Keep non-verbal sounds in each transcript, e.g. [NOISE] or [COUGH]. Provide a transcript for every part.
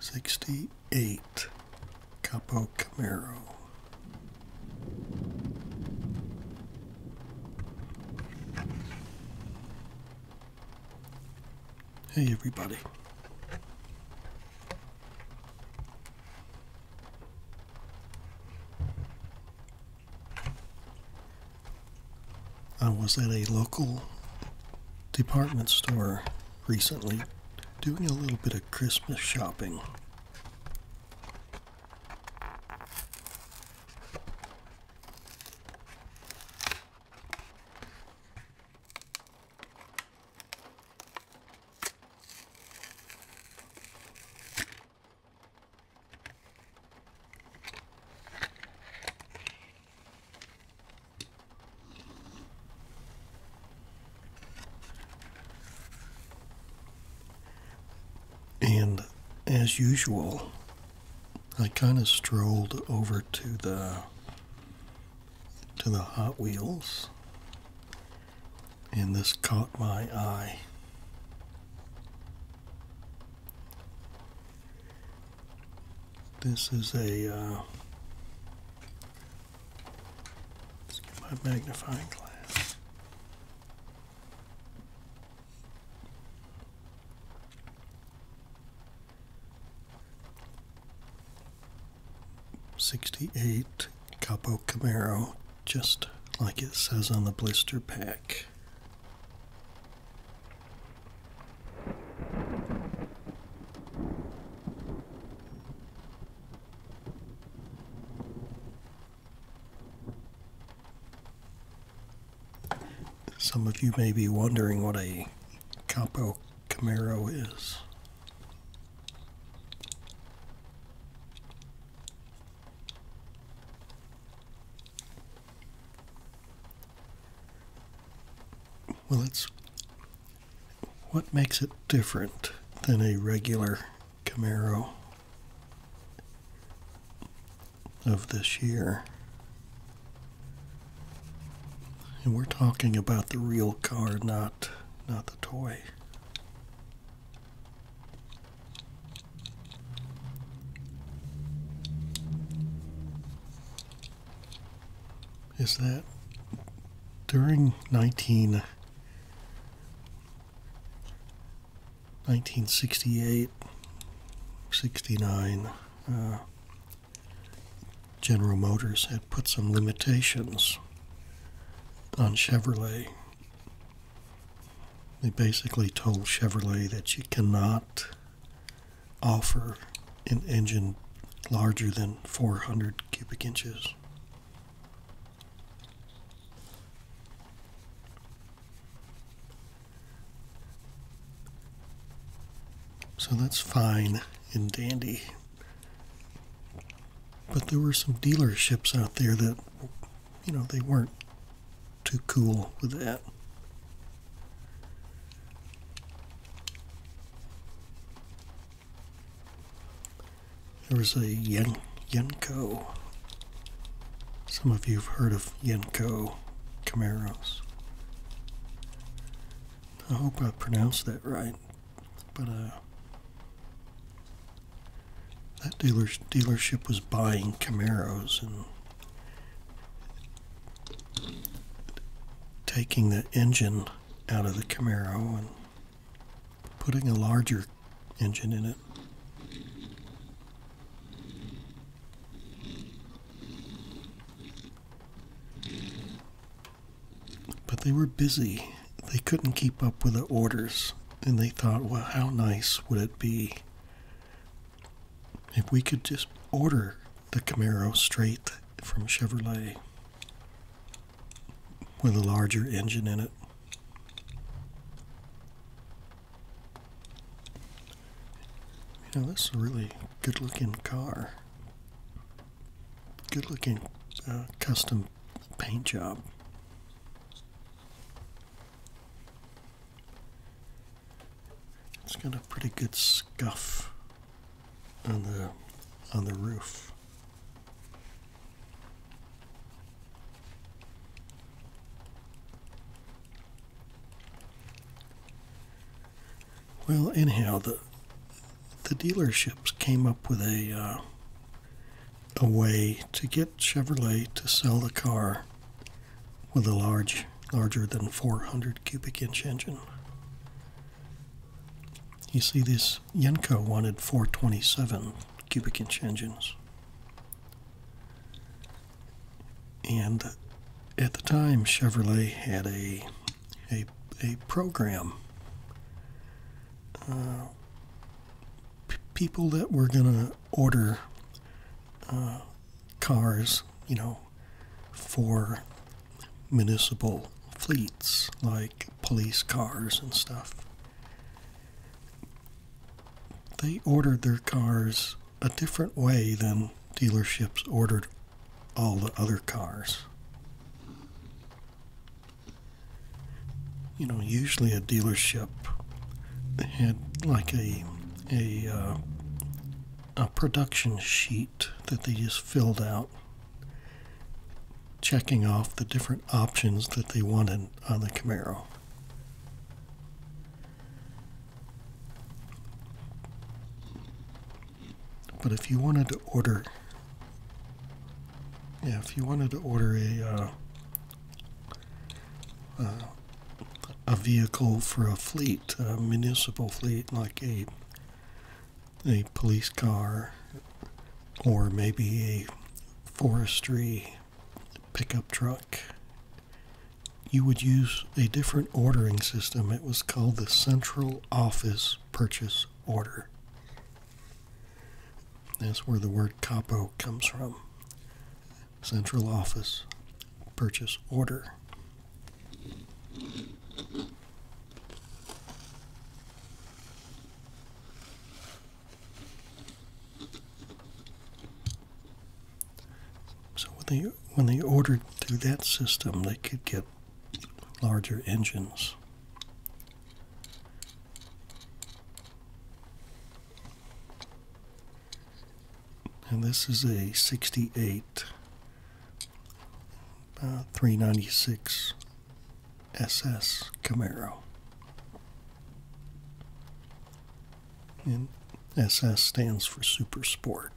68 Capo Camaro. Hey everybody. I was at a local department store recently doing a little bit of Christmas shopping. And as usual, I kind of strolled over to the to the Hot Wheels and this caught my eye. This is a. Uh, my magnifying glass. Sixty-eight Capo Camaro, just like it says on the blister pack. Some of you may be wondering what a Capo Camaro is. Well, it's what makes it different than a regular Camaro of this year. And we're talking about the real car, not not the toy is that during 1968, 69, uh, General Motors had put some limitations on Chevrolet. They basically told Chevrolet that you cannot offer an engine larger than 400 cubic inches. So that's fine and dandy. But there were some dealerships out there that, you know, they weren't too cool with that. There was a Yenko. Some of you have heard of Yenko Camaros. I hope I pronounced that right, but uh, that dealer, dealership was buying Camaros, and taking the engine out of the Camaro and putting a larger engine in it. But they were busy. They couldn't keep up with the orders. And they thought, well, how nice would it be if we could just order the Camaro straight from Chevrolet with a larger engine in it. You know, this is a really good looking car. Good looking uh, custom paint job. It's got a pretty good scuff on the on the roof. Well, anyhow, the the dealerships came up with a uh, a way to get Chevrolet to sell the car with a large, larger than 400 cubic inch engine. You see, this Yenko wanted 427 cubic inch engines. And at the time, Chevrolet had a, a, a program. Uh, people that were going to order uh, cars, you know, for municipal fleets like police cars and stuff. They ordered their cars a different way than dealerships ordered all the other cars. You know, usually a dealership had like a a uh, a production sheet that they just filled out checking off the different options that they wanted on the Camaro. But if you wanted to order, yeah, if you wanted to order a uh, uh, a vehicle for a fleet, a municipal fleet, like a a police car or maybe a forestry pickup truck, you would use a different ordering system. It was called the Central Office Purchase Order. That's where the word capo comes from. Central Office Purchase Order. So when they when they ordered through that system, they could get larger engines. And this is a 68 uh, 396 SS Camaro. And SS stands for Super Sport.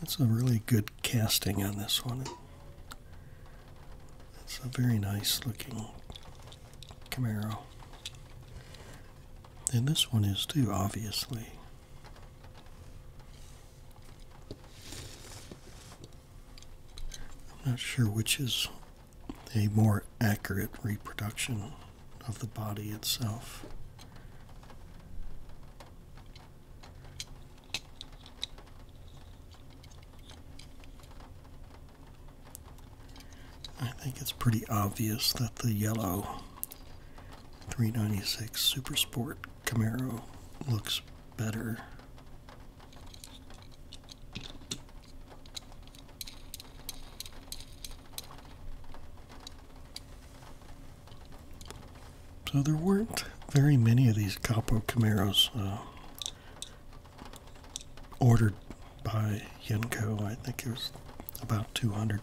That's a really good casting on this one. It's a very nice looking Camaro. And this one is too, obviously. I'm not sure which is a more accurate reproduction of the body itself. I think it's pretty obvious that the yellow 396 Super Sport Camaro looks better. So there weren't very many of these Capo Camaros uh, ordered by Yenko. I think it was about 200.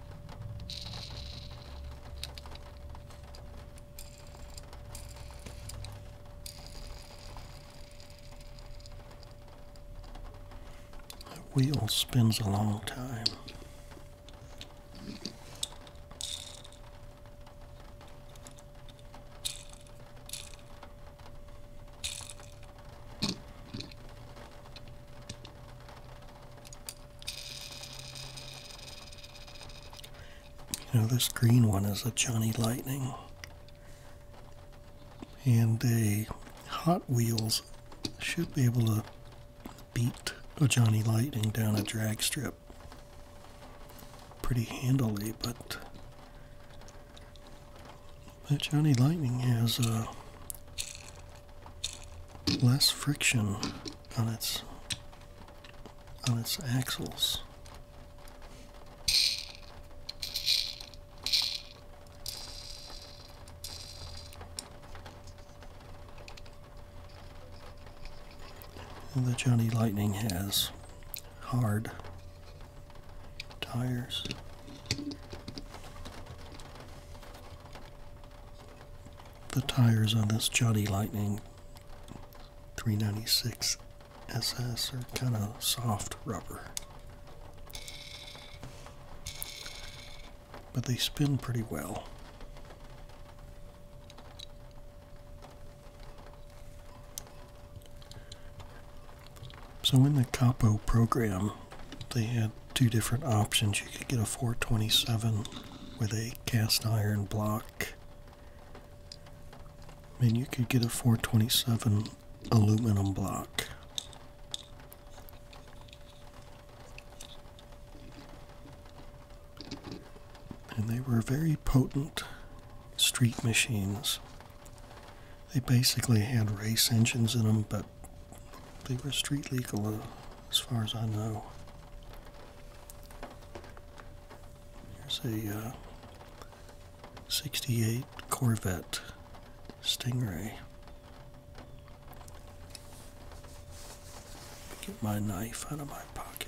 The wheel spins a long time. You know, this green one is a Johnny Lightning. And a Hot Wheels should be able to beat a Johnny Lightning down a drag strip pretty handily, but but Johnny Lightning has a less friction on its on its axles. the Johnny Lightning has hard tires the tires on this Johnny Lightning 396 SS are kind of soft rubber. But they spin pretty well. So in the Capo program, they had two different options. You could get a 427 with a cast iron block, and you could get a 427 aluminum block. And they were very potent street machines. They basically had race engines in them, but they were street legal uh, as far as I know. Here's a uh, 68 Corvette Stingray. Get my knife out of my pocket.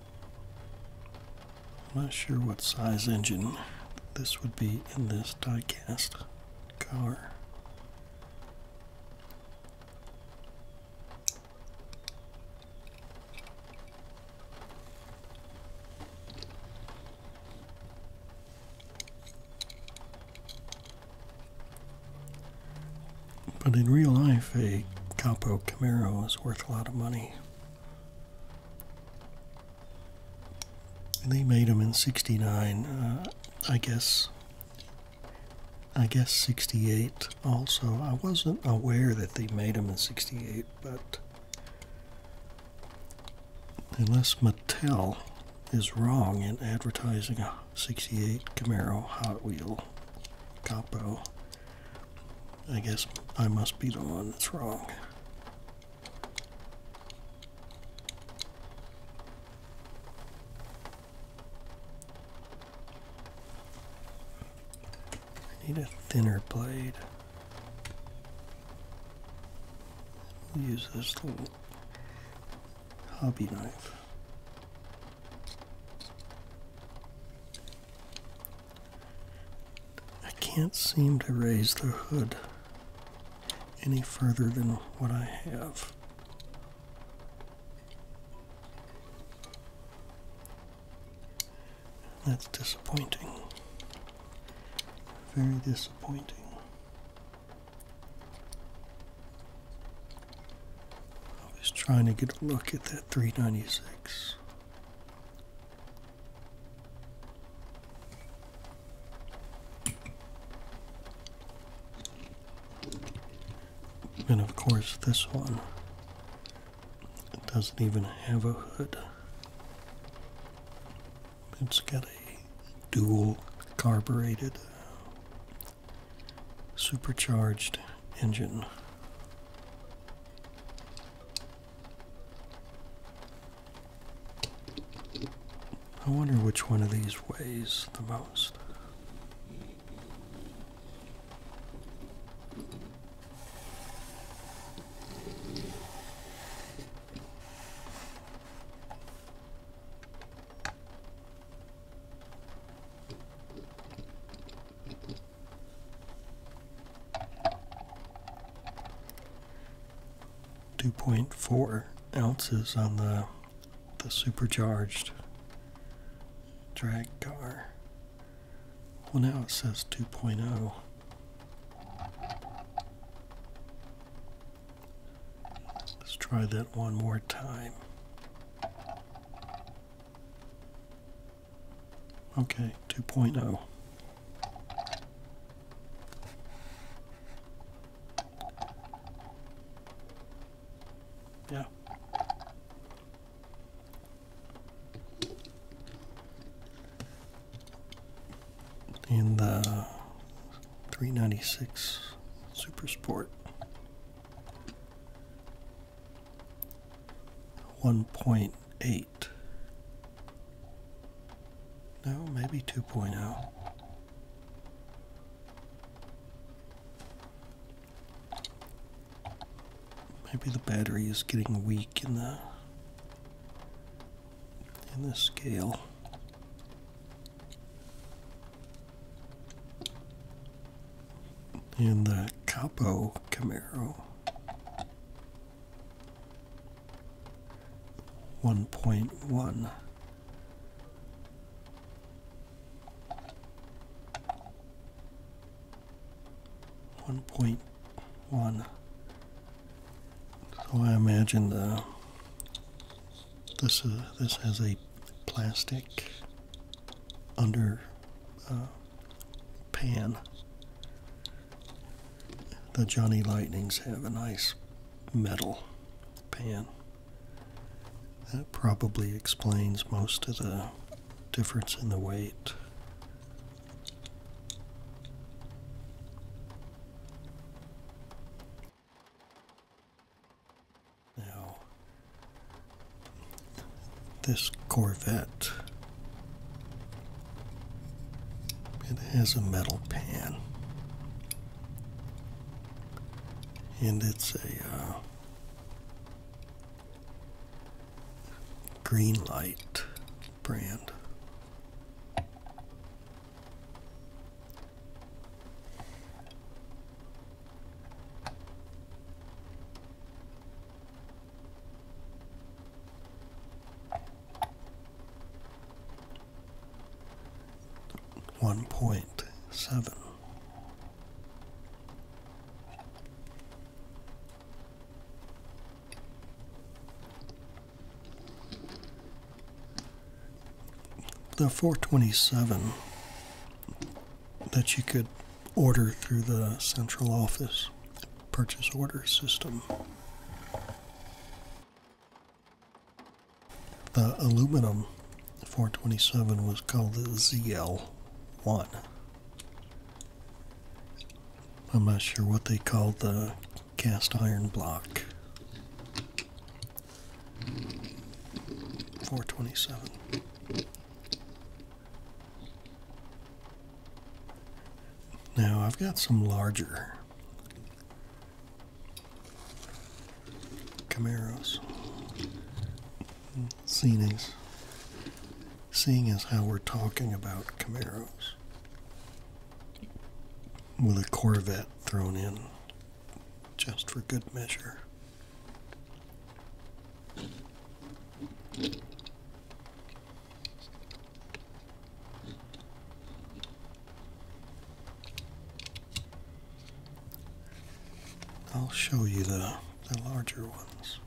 I'm not sure what size engine this would be in this diecast car. But in real life, a Capo Camaro is worth a lot of money. They made them in '69, uh, I guess. I guess '68 also. I wasn't aware that they made them in '68, but unless Mattel is wrong in advertising a '68 Camaro Hot Wheel Capo, I guess I must be the one that's wrong. I need a thinner blade. use this little hobby knife. I can't seem to raise the hood any further than what I have. That's disappointing. Very disappointing. I was trying to get a look at that 396. And of course, this one it doesn't even have a hood. It's got a dual carbureted supercharged engine. I wonder which one of these weighs the most. 2.4 ounces on the the supercharged drag car. Well, now it says 2.0. Let's try that one more time. Okay, 2.0. Yeah. In the uh, 396 Super Sport. 1.8. No, maybe 2.0. Maybe the battery is getting weak in the in the scale in the Capo Camaro. 1.1 1.1 so I imagine the this uh, this has a plastic under uh, pan. The Johnny Lightnings have a nice metal pan. That probably explains most of the difference in the weight. Now, this Corvette. It has a metal pan. And it's a uh, green light brand one point seven. The 427 that you could order through the central office purchase order system. The aluminum 427 was called the ZL1. I'm not sure what they called the cast iron block. 427. Now I've got some larger Camaros. Seeing as, seeing as how we're talking about Camaros with a Corvette thrown in just for good measure. I'll show you the, the larger ones.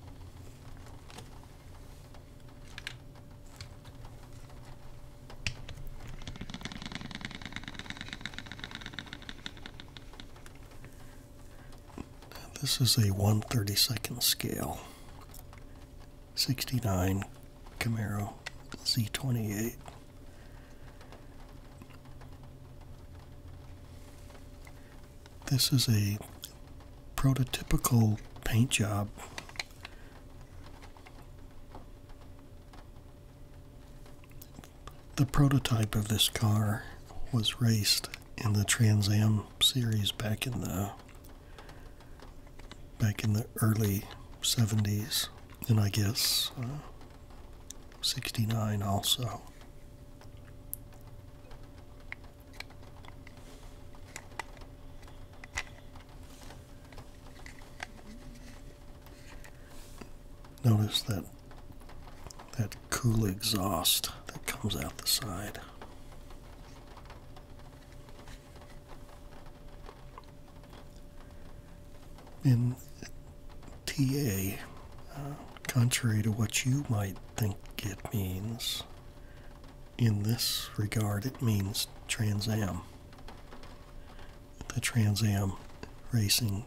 This is a 132nd scale 69 Camaro Z28. This is a prototypical paint job. The prototype of this car was raced in the Trans Am series back in the back in the early 70s, and I guess uh, 69 also. Notice that that cool exhaust that comes out the side. In TA, uh, contrary to what you might think it means, in this regard it means Trans Am, the Trans Am Racing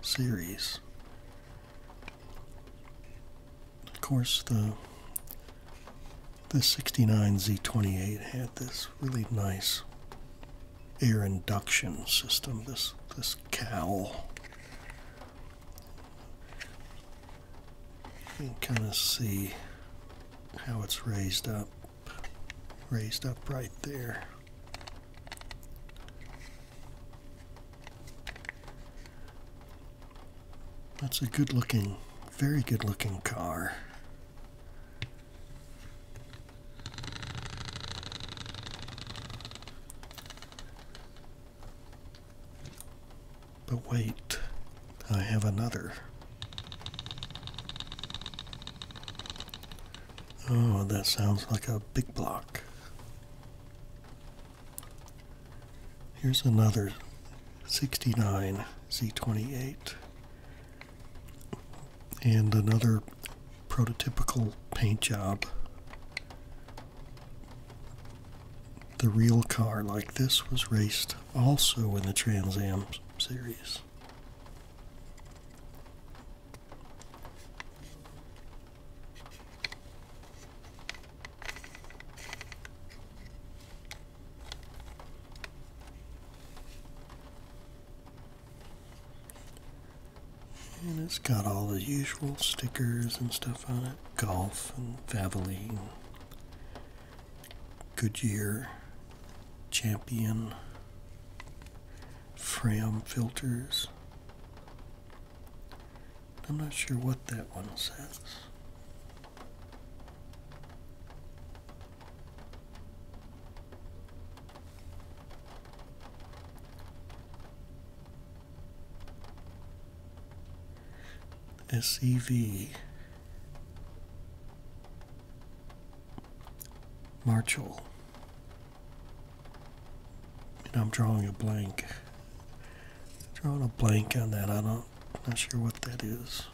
Series. Of course, the the 69 Z28 had this really nice air induction system. This this cowl. You can kind of see how it's raised up, raised up right there. That's a good looking, very good looking car. But wait, I have another. Oh, that sounds like a big block. Here's another 69 Z28 and another prototypical paint job. The real car like this was raced also in the Trans Am series. And it's got all the usual stickers and stuff on it. Golf and Valvoline, Goodyear, Champion, Fram filters, I'm not sure what that one says. SEV Marshall. I'm drawing a blank. Drawing a blank on that. I don't not sure what that is.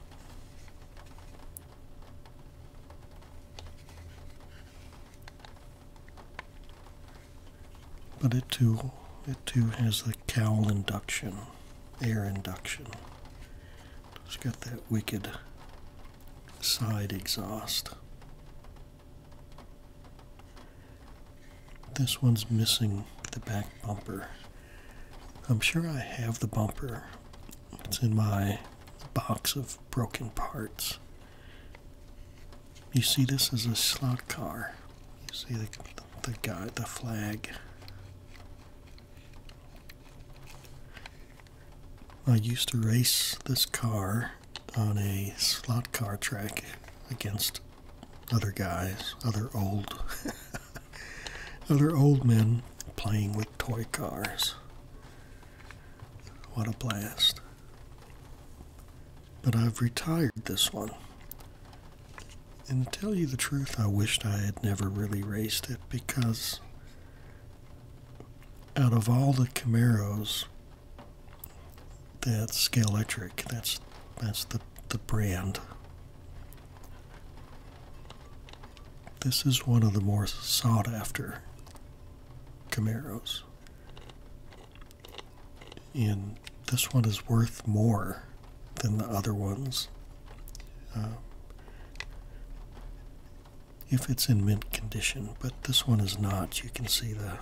But it too it too has the cowl induction, air induction. It's got that wicked side exhaust. This one's missing the back bumper. I'm sure I have the bumper. It's in my box of broken parts. You see, this is a slot car. You see the, guy, the flag. I used to race this car on a slot car track against other guys, other old, [LAUGHS] other old men playing with toy cars. What a blast! But I've retired this one. And to tell you the truth, I wished I had never really raced it because out of all the Camaros that's Scale That's that's the the brand. This is one of the more sought after Camaros. And this one is worth more than the other ones. Um, if it's in mint condition, but this one is not. You can see the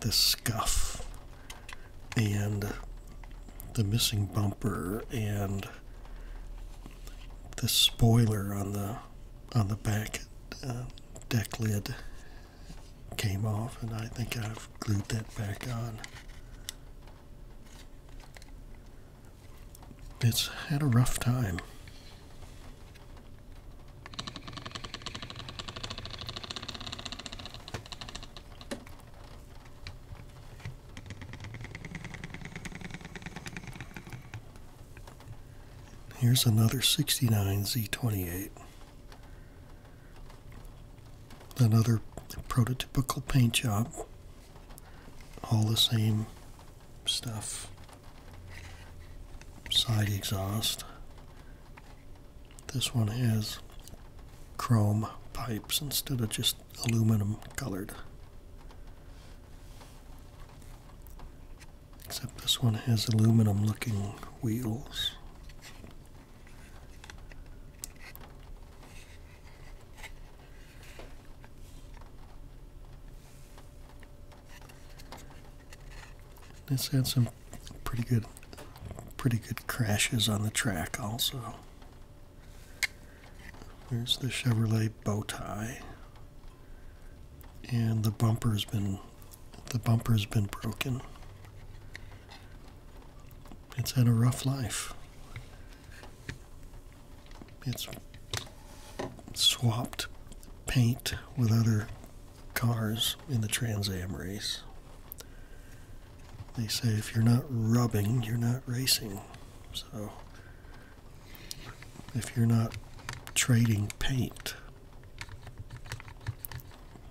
the scuff and the missing bumper and the spoiler on the on the back uh, deck lid came off and I think I've glued that back on. It's had a rough time. Here's another 69 Z28. Another prototypical paint job. All the same stuff. Side exhaust. This one has chrome pipes instead of just aluminum colored. Except this one has aluminum looking wheels. This had some pretty good pretty good crashes on the track also there's the chevrolet bow tie and the bumper's been the bumper's been broken it's had a rough life it's swapped paint with other cars in the trans am race they say if you're not rubbing, you're not racing. So if you're not trading paint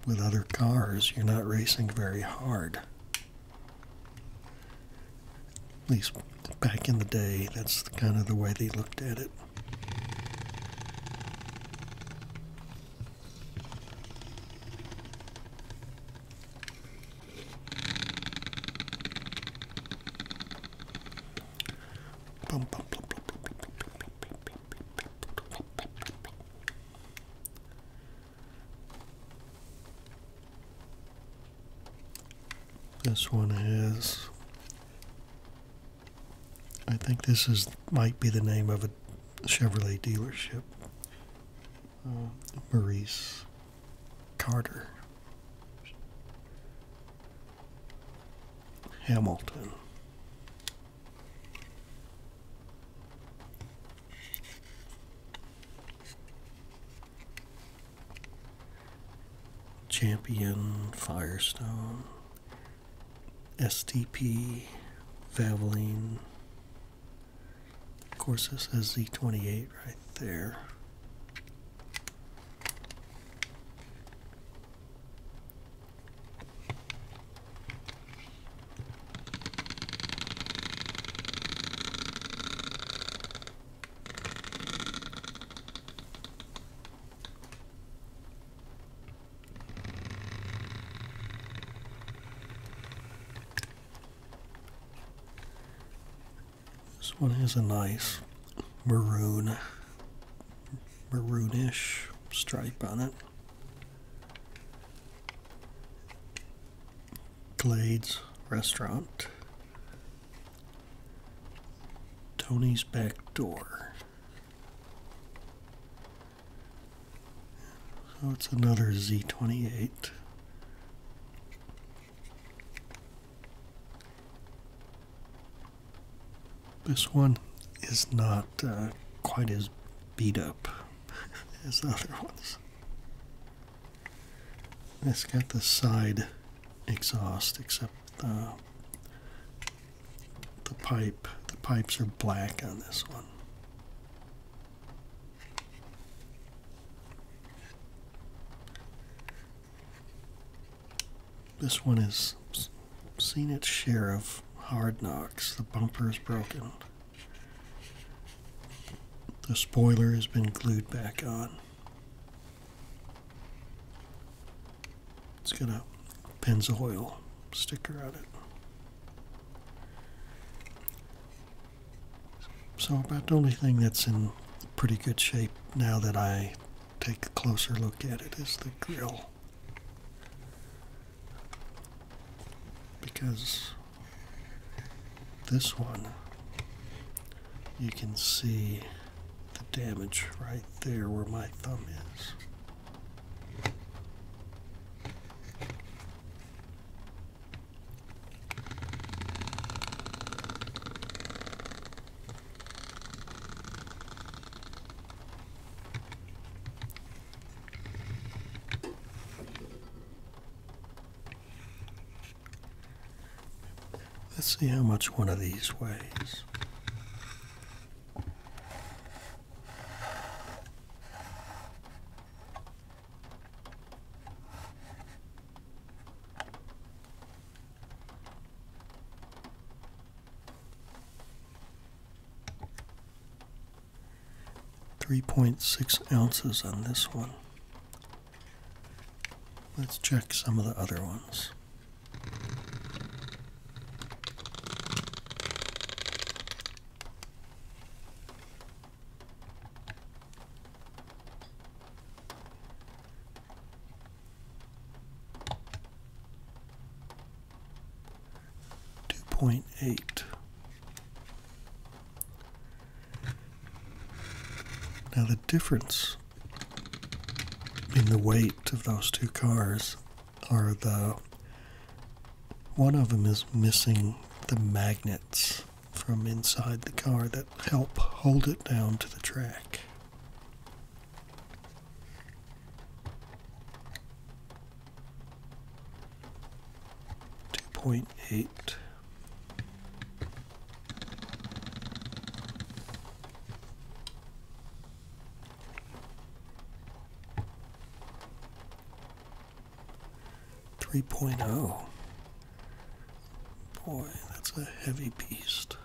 with other cars, you're not racing very hard. At least back in the day, that's kind of the way they looked at it. This one is. I think this is might be the name of a Chevrolet dealership uh, Maurice Carter, Hamilton. Champion, Firestone, STP, Valvoline, of course, this is Z 28 right there. This one has a nice maroon, maroonish stripe on it. Glades Restaurant. Tony's Back Door. So it's another Z28. This one is not uh, quite as beat up [LAUGHS] as the other ones. It's got the side exhaust, except the, uh, the pipe. The pipes are black on this one. This one has seen its share of hard knocks. The bumper is broken. The spoiler has been glued back on. It's got a Pennzoil sticker on it. So about the only thing that's in pretty good shape now that I take a closer look at it is the grill. Because this one, you can see the damage right there where my thumb is. Let's see how much one of these weighs. 3.6 ounces on this one. Let's check some of the other ones. 2.8. Now the difference in the weight of those two cars are the one of them is missing the magnets from inside the car that help hold it down to the track. Two point eight. 3.0. Boy, that's a heavy beast.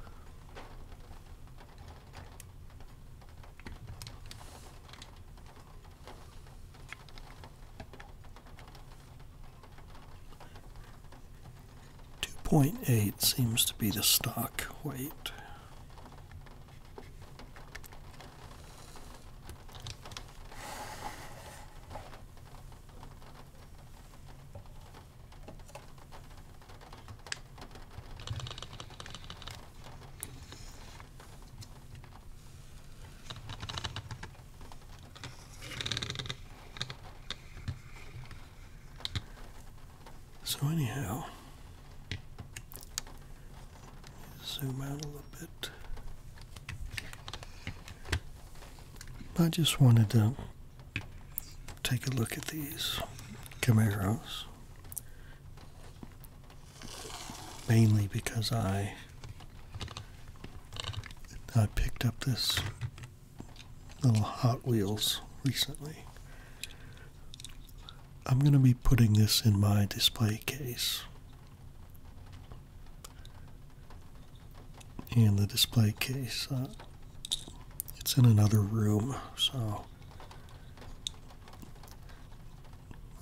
Two point eight seems to be the stock weight. So anyhow, zoom out a little bit. I just wanted to take a look at these Camaros mainly because I I picked up this little Hot Wheels recently. I'm going to be putting this in my display case and the display case. Uh, it's in another room, so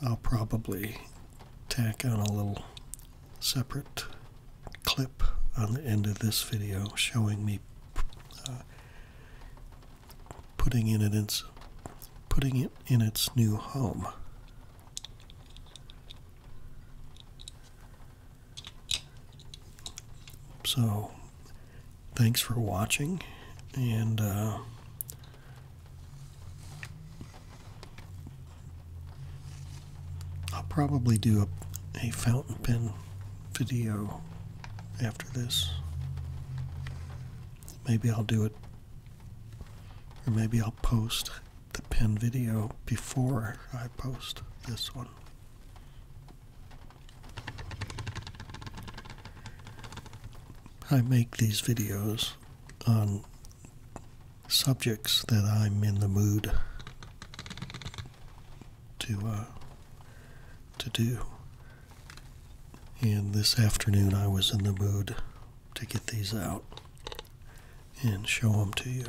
I'll probably tack on a little separate clip on the end of this video showing me uh, putting putting it in its new home. So, thanks for watching, and uh, I'll probably do a fountain pen video after this. Maybe I'll do it, or maybe I'll post the pen video before I post this one. I make these videos on subjects that I'm in the mood to uh, to do. And this afternoon I was in the mood to get these out and show them to you.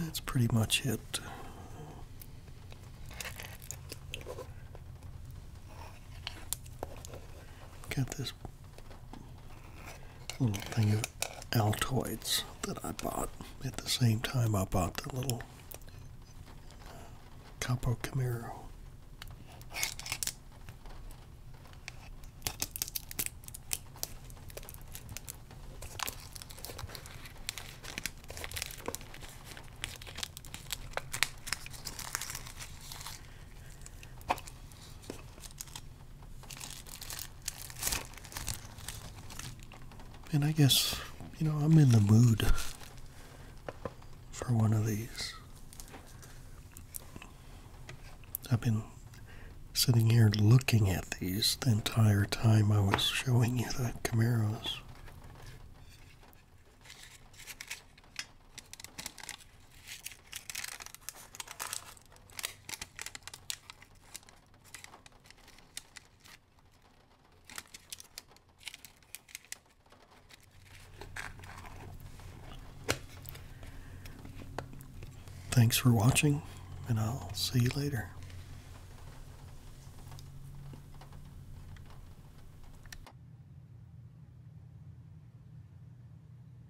That's pretty much it. Got this little thing of Altoids that I bought at the same time I bought the little uh, Capo Camaro. And I guess, you know, I'm in the mood for one of these. I've been sitting here looking at these the entire time I was showing you the Camaros. Thanks for watching, and I'll see you later.